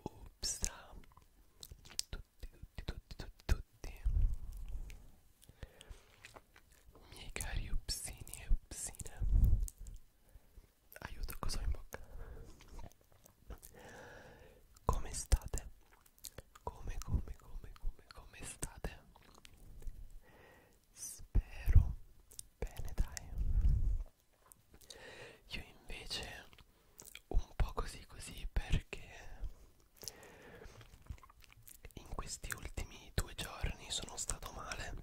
Ups, tutti, tutti, tutti, tutti, tutti, miei cari upsini e upsine, aiuto cosa ho in bocca, come state? come come come come come state spero bene dai io invece un po' così così perché in questi ultimi due giorni sono stato male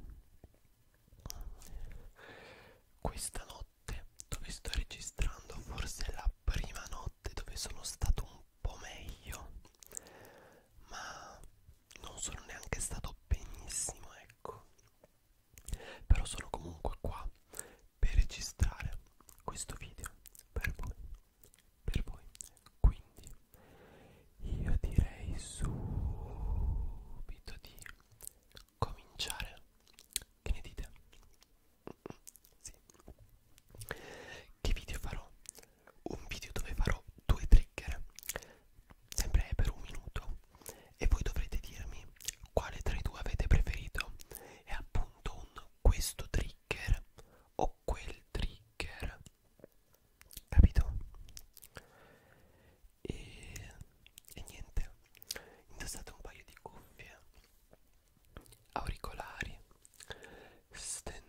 questa notte dove sto registrando forse la prima notte dove sono stato un po' meglio ma non sono neanche stato benissimo ecco però sono comunque qua per registrare questo video per voi per voi quindi io direi subito di cominciare che ne dite sì che video farò? Un video dove farò due trigger, sempre per un minuto, e voi dovrete dirmi quale tra i due avete preferito. È appunto un questo trigger o quel trigger, capito? E, e niente, indossate un paio di cuffie auricolari stendetevi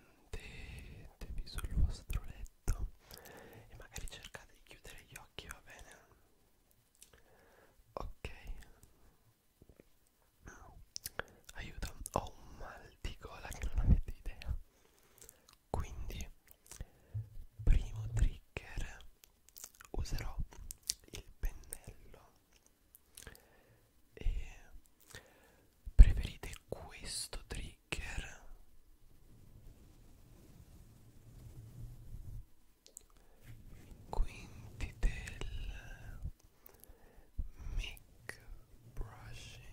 sul vostro letto e magari cercate di chiudere gli occhi, va bene? Ok, aiuto, ho un mal di gola che non avete idea. Quindi, primo trigger userò il pennello e preferite questo trigger quindi del mic brushing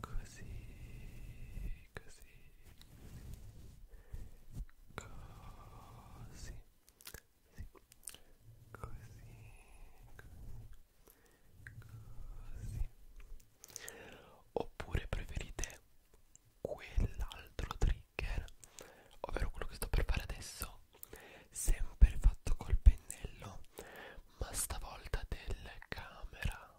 così così così sì. così così oppure preferite quell'altro trigger ovvero quello che sto per fare adesso sempre fatto col pennello ma stavolta del camera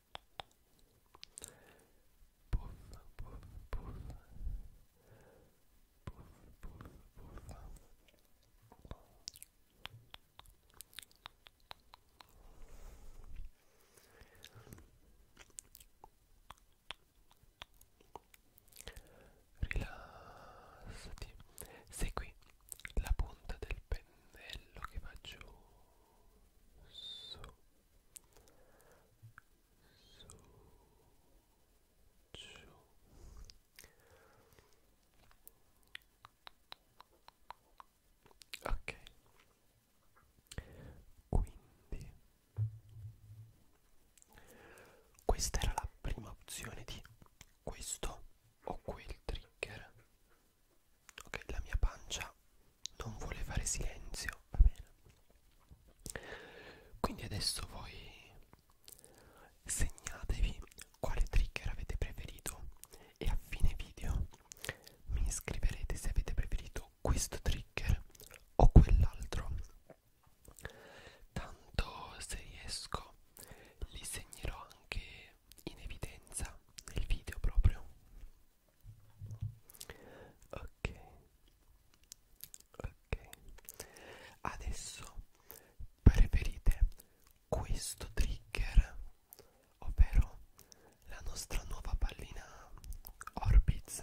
puff, puff, puff, puff, puff, puff. Rilassati, segui la punta del pennello che va giù su su giù ok quindi questa era la prima opzione di questo o quel trigger ok la mia pancia non vuole fare silenzio va bene quindi adesso voi segnatevi quale trigger avete preferito e a fine video mi scriverete se avete preferito questo trigger o quell'altro tanto se riesco li segnerò anche in evidenza nel video proprio ok ok adesso preferite questo trigger ovvero la nostra nuova pallina Orbitz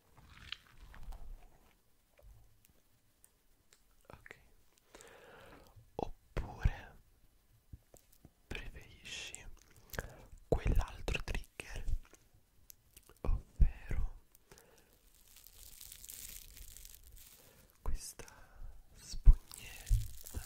ok oppure preferisci quell'altro trigger ovvero questa spugnetta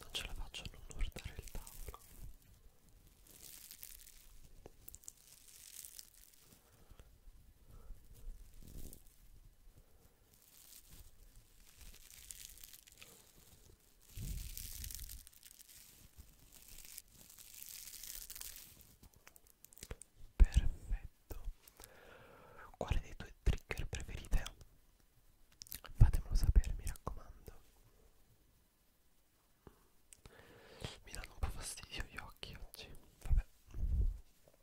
Non ce la faccio a non guardare il tavolo. Perfetto. Quale dei tuoi trigger preferite? Fatemelo sapere, mi raccomando. Mi danno un po' fastidio gli occhi oggi. Vabbè.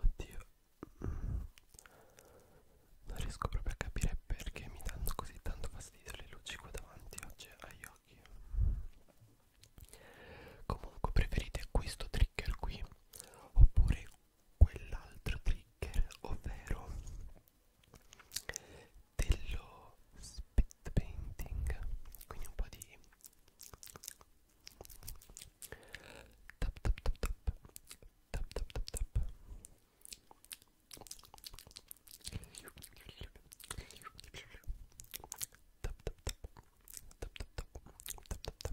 Oddio, non riesco proprio a capire perché mi danno così tanto fastidio le luci qua davanti oggi agli occhi. Comunque preferite questo trigger qui oppure quell'altro trigger, ovvero dello spit painting, quindi un po' di tap tap tap tap tap tap tap tap tap tap tap tap tap tap tap tap tap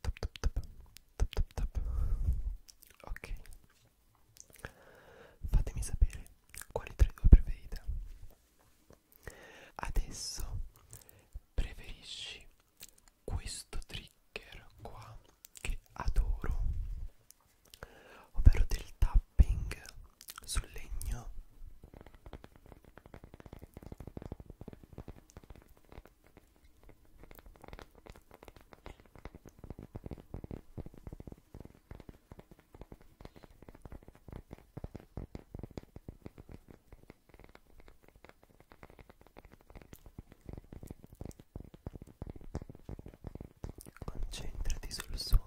Tap, tap, tap, tap, tap, tap. Ok, fatemi sapere quali tra i due preferite. Adesso preferisci questo trigger qua che adoro, ovvero del tapping sul legno Concentrati sul suono.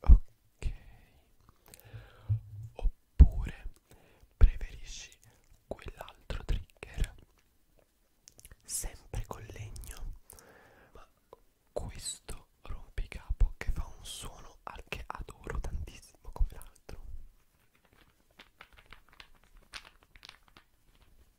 ok oppure preferisci quell'altro trigger sempre con legno ma questo rompicapo che fa un suono al che adoro tantissimo come l'altro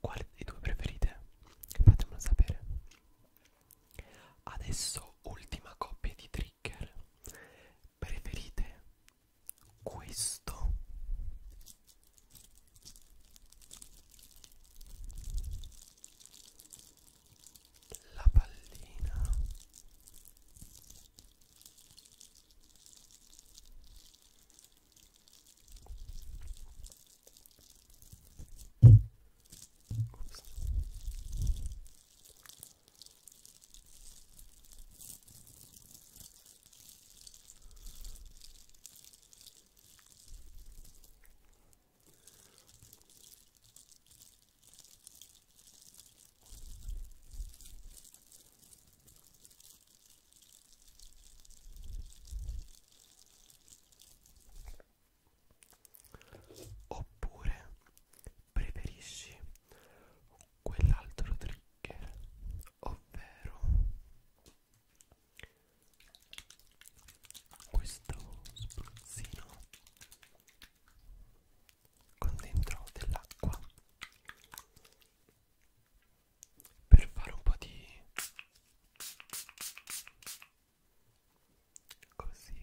Quale dei due preferite? Fatemelo sapere. Adesso ultima coppia di tri trigger preferite questo la pallina Ops. Oppure preferisci quell'altro trigger ovvero questo spruzzino con dentro dell'acqua per fare un po' di così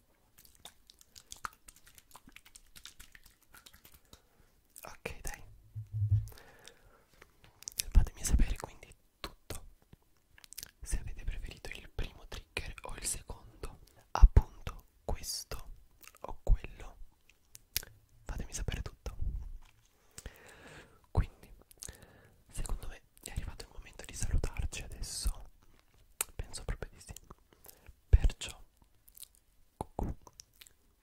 Ok, dai. Fatemi sapere quindi tutto. Se avete preferito il primo trigger o il secondo, appunto questo o quello. Fatemi sapere tutto. Quindi, secondo me è arrivato il momento di salutarci adesso. Penso proprio di sì. Perciò, cucù,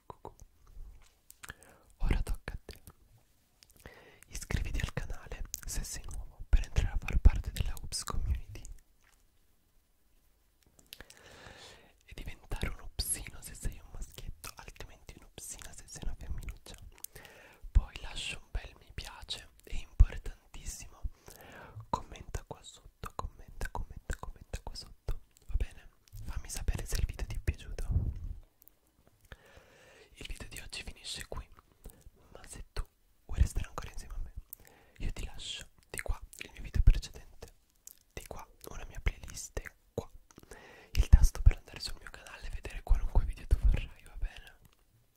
cucù. Ora tocca a te. Iscriviti al canale se sei nuovo per entrare a far parte della UPS community e diventare un upsino se sei un maschietto, altrimenti un upsina se sei una femminuccia. Poi lascia un bel mi piace, è importantissimo. Commenta qua sotto sotto Commenta, commenta, commenta qua sotto Va bene? Fammi sapere se il video ti è piaciuto Il video di oggi finisce qui Ma se tu vuoi restare ancora insieme a me Io ti lascio di qua il mio video precedente Di qua una mia playlist Qua il tasto per andare sul mio canale e vedere qualunque video tu vorrai, va bene?